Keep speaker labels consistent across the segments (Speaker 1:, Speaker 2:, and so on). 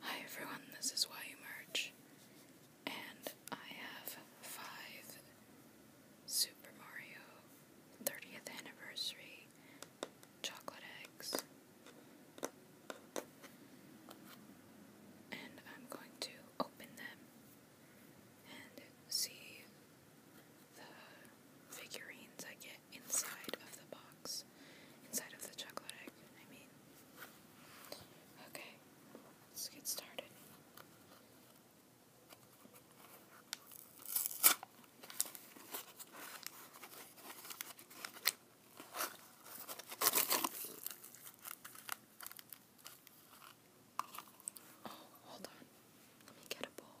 Speaker 1: Hi everyone, this is YU Merch, and I have five Super Mario 30th Anniversary chocolate eggs, and I'm going to open them and see the figurines I get inside of the box inside of the chocolate egg, I mean. Okay, let's get started. Oh, hold on. Let me get a bowl.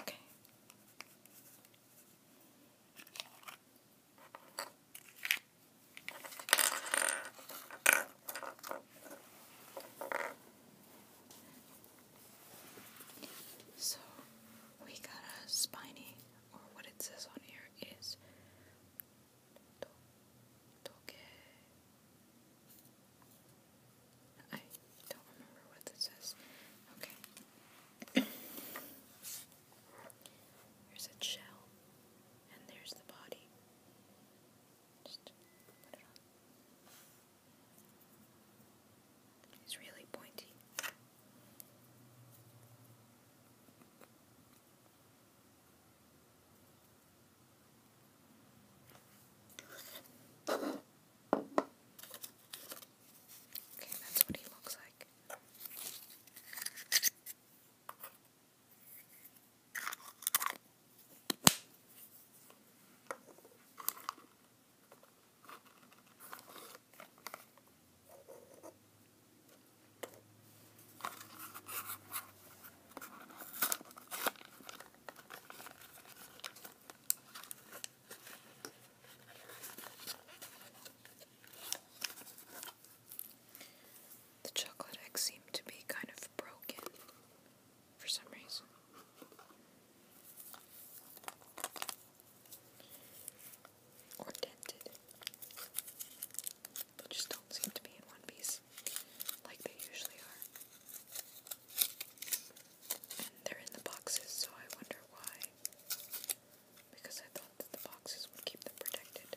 Speaker 1: okay. So we got a spiny or what it says on here is I don't remember what this says. Okay. There's a shell, and there's the body. Just put it on. It's really pointy. Okay, that's what he looks like. The chocolate egg seemed to be kind of broken for some reason. Or dented. They just don't seem to be in one piece like they usually are. And they're in the boxes, so I wonder why. Because I thought that the boxes would keep them protected.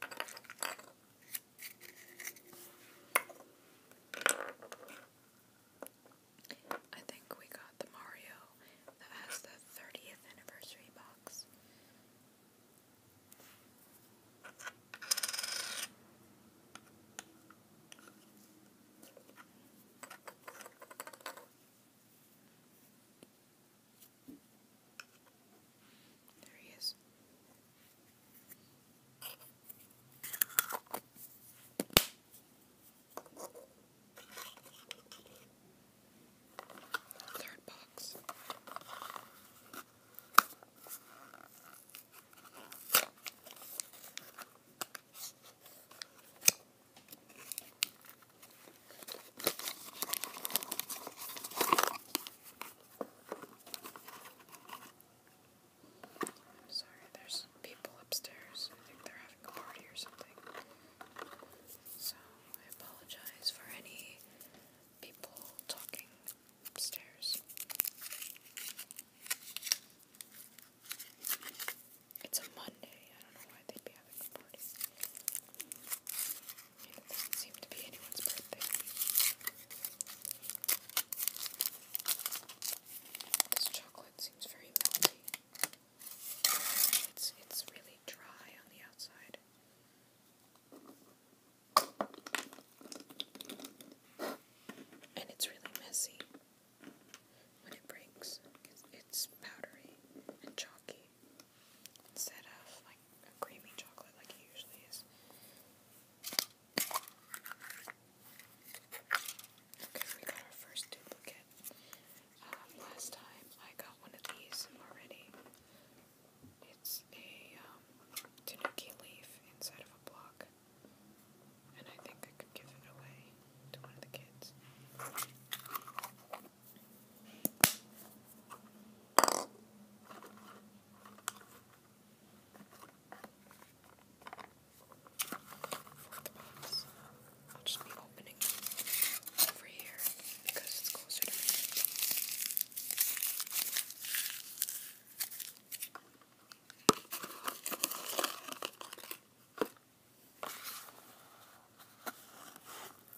Speaker 1: I think we got the Mario that has the 30th anniversary box. There he is. Third box. I'm sorry, there's people upstairs. I think they're having a party or something. So I apologize for any people talking upstairs. It's a Monday. I don't know why they'd be having a party. It doesn't seem to be anyone's birthday. This chocolate seems very melty. It's it's really dry on the outside. And it's really messy when it breaks. It's, it's powdery and chalky instead of like a creamy chocolate like he usually is. Okay, we got our first duplicate. Um, last time I got one of these already. It's a um, leaf inside of a block. And I think I could give it away to one of the kids. Fourth box. I'll just be opening it over here because it's closer to me.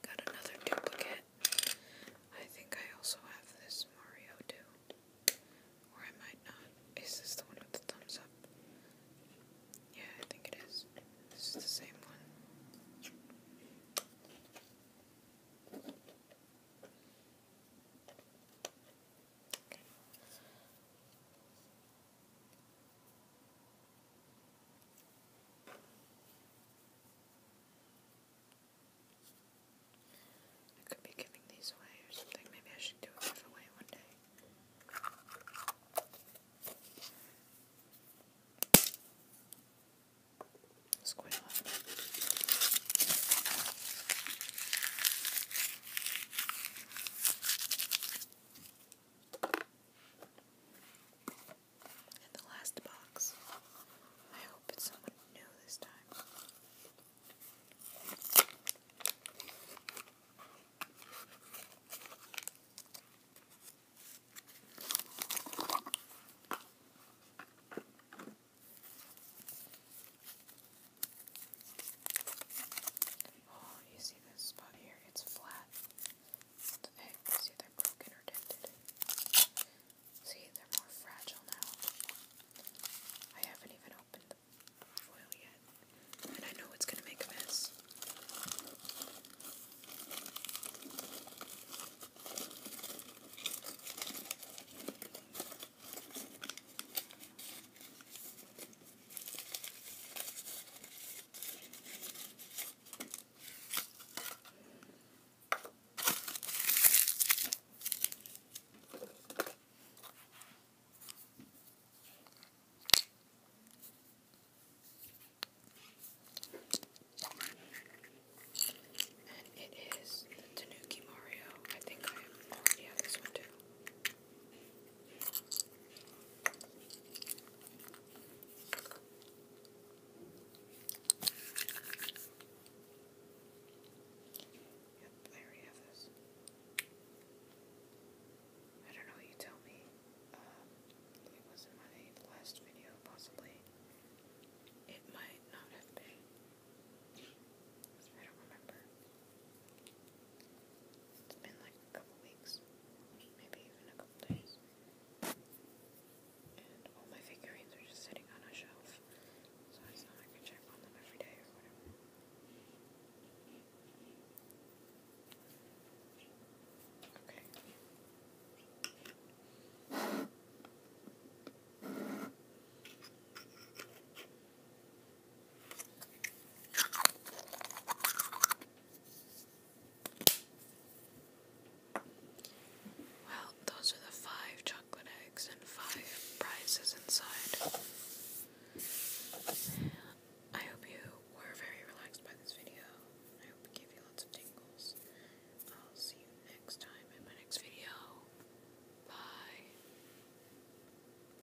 Speaker 1: Got another duplicate. I think I also have this Mario too. Or I might not. Is this the one with the thumbs up? Yeah, I think it is. This is the same one. I could be giving these away or something. Maybe I should do a giveaway one day. It's quite loud. And the last box. I hope it's someone new this time. Oh, you see this spot here? It's flat. The eggs, either broken or dented. See, they're more fragile now. I haven't even opened the foil yet, and I know it's gonna make a mess. And it is Tanuki Mario. I think I already have this one too. Yep, I don't know, you tell me. Um, it was in my last video, possibly. It might not have been. I don't remember. It's been like a couple weeks, maybe even a couple days. my figurines are just sitting on a shelf, so I thought I could check on them every day or whatever. Okay. Well, those are the five chocolate eggs and five prizes inside. I hope you were very relaxed by this video. I hope it gave you lots of tingles. I'll see you next time in my next video. Bye.